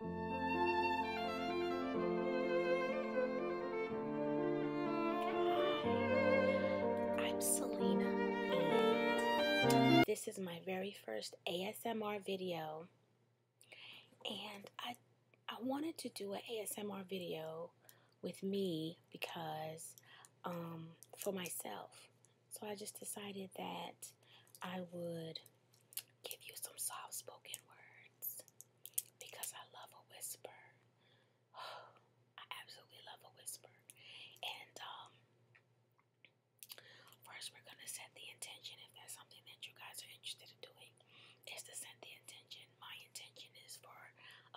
I'm Selena, and this is my very first ASMR video, and I I wanted to do an ASMR video with me because um, for myself. So I just decided that I would give you some soft spoken words because I love a whisper. I absolutely love a whisper. And um, first we're gonna set the intention if that's something that you guys are interested in doing is to set the intention. My intention is for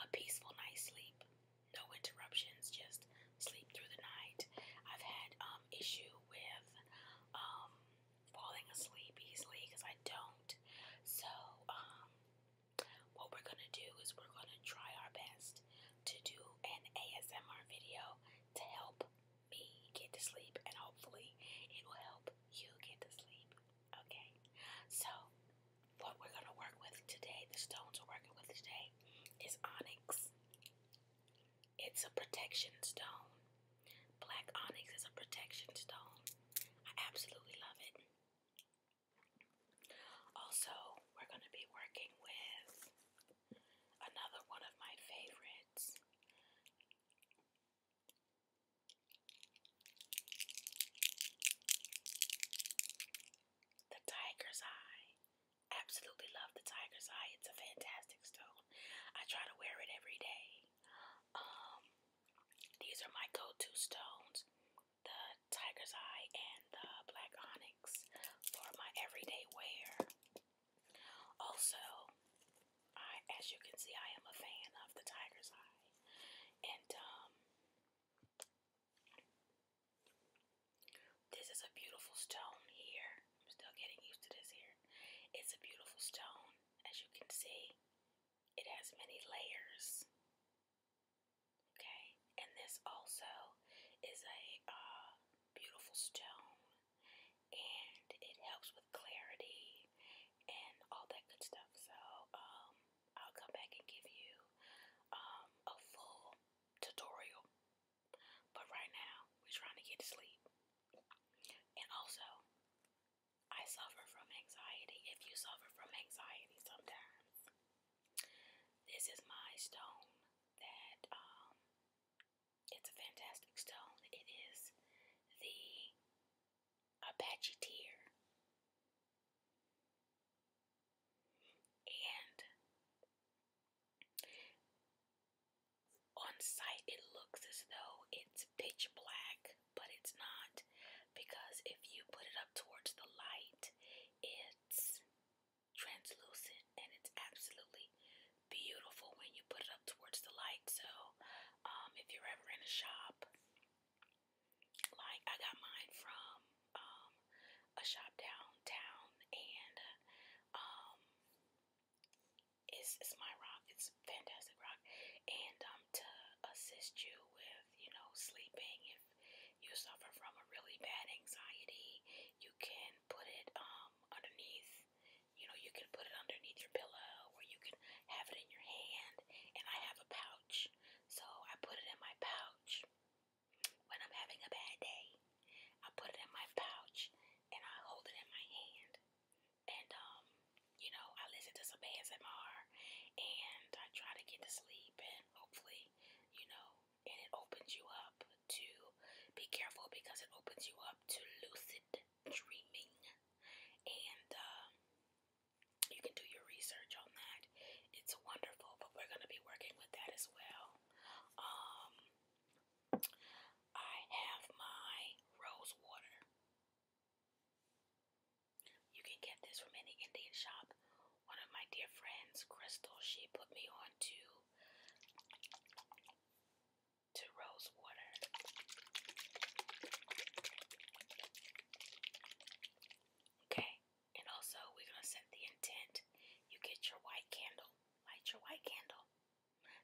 a peaceful night's sleep. No interruptions, just sleep through the night. I've had um issues with um, falling asleep easily because I don't. So, um, what we're gonna do is we're gonna try our best to do an ASMR video to help me get to sleep, and hopefully, it will help you get to sleep. Okay, so what we're gonna work with today, the stones we're working with today, is onyx, it's a protection stone. Black onyx is a protection stone. I absolutely love it. Also, we're going to be working with another one of my favorites. The Tiger's Eye. Absolutely love the tiger's eye. It's a fantastic stone. I try to wear it every day. Um, these are my go-to stones. The tiger's eye and the black onyx for my everyday wear. Also, I, as you can see, I am a fan of the tiger's eye. And, um, this is a beautiful stone here. I'm still getting used to this here. It's a beautiful stone, as you can see. It has many layers. Okay, and this also is a uh, beautiful stone, and it helps with clarity and all that good stuff. So, um, I'll come back and give you um, a full tutorial but right now, we're trying to get to sleep. And also, I suffer from anxiety. If you suffer from anxiety sometimes, this is my stone that, um, it's a fantastic stone. It is the Apache tear. And on site, it looks as though it's pitch black, but it's not because if you put it up towards the light, it's translucent and it's absolutely beautiful when you put it up towards the light. So, um, if you're ever in a shop, like I got mine from um, a shop downtown, and um, it's, it's my rock. It's fantastic rock. And um, to assist you with, you know, sleeping, if you suffer from a really bad anxiety, you can put it um, underneath, you know, you can put it underneath your pillow or you can have it in your hand. And I have a pouch. So I put it in my pouch when I'm having a bad day. I put it in my pouch and I hold it in my hand. And um, you know, I listen to some ASMR and I try to get to sleep and hopefully, you know, and it opens you up to be careful because it opens you up to lucid dreaming. And um, you can do your research on that. It's wonderful, but we're gonna be working with that as well. Um, I have my rose water. You can get this from any Indian shop. One of my dear friends, Crystal, she put me on to to rose water. Okay, and also we're gonna set the intent. You get your white candle. Light your white candle.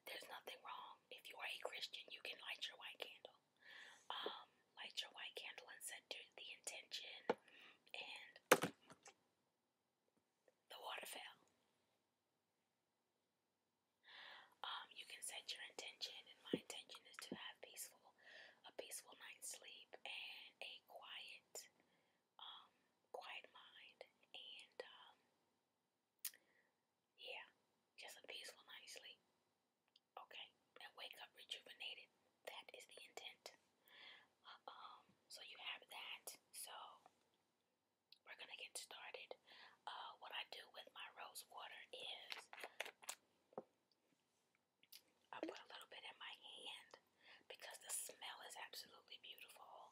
There's nothing wrong. If you are a Christian, you can light your white candle. Um, light your white candle and set the intention and the water fell. Um, you can set your intention, and my intention is to have peaceful, a peaceful night's sleep and a quiet, um, quiet mind, and um, yeah, just a peaceful night's sleep. Okay, and wake up rejuvenated. That is the intent. um, so you have that. So we're gonna get started. Uh, what I do with my rose water is I put a little bit in my hand because the smell is absolutely beautiful.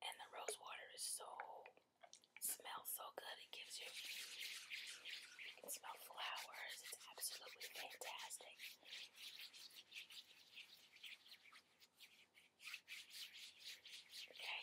And the rose water is so smells so good. It gives you you can smell flowers. It's absolutely fantastic. Okay.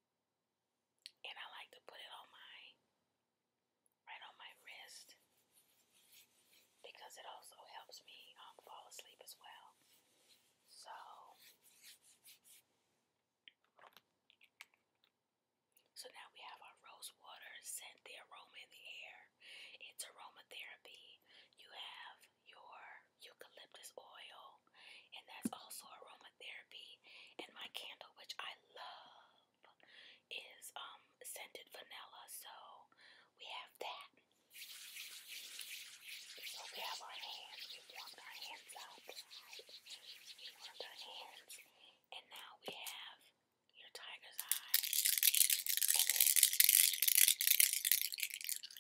And I like to put it on my, right on my wrist, because it also helps me um, fall asleep as well. So, so now we have our rose water scent, the aroma in the air. It's aromatherapy. You have your eucalyptus oil, and that's also aromatherapy. And my candle, which I love, is um scented vanilla, so we have that. So we have our hands, we warmed our hands up, we warmed our hands, and now we have your tiger's eye.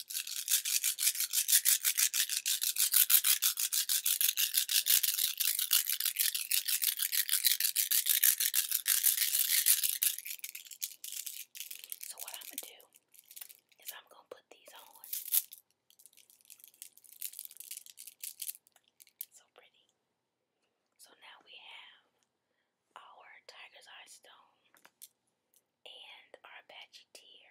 So what I'm gonna do is I'm gonna put these on. So pretty. So now we have our tiger's eye stone and our Apache tear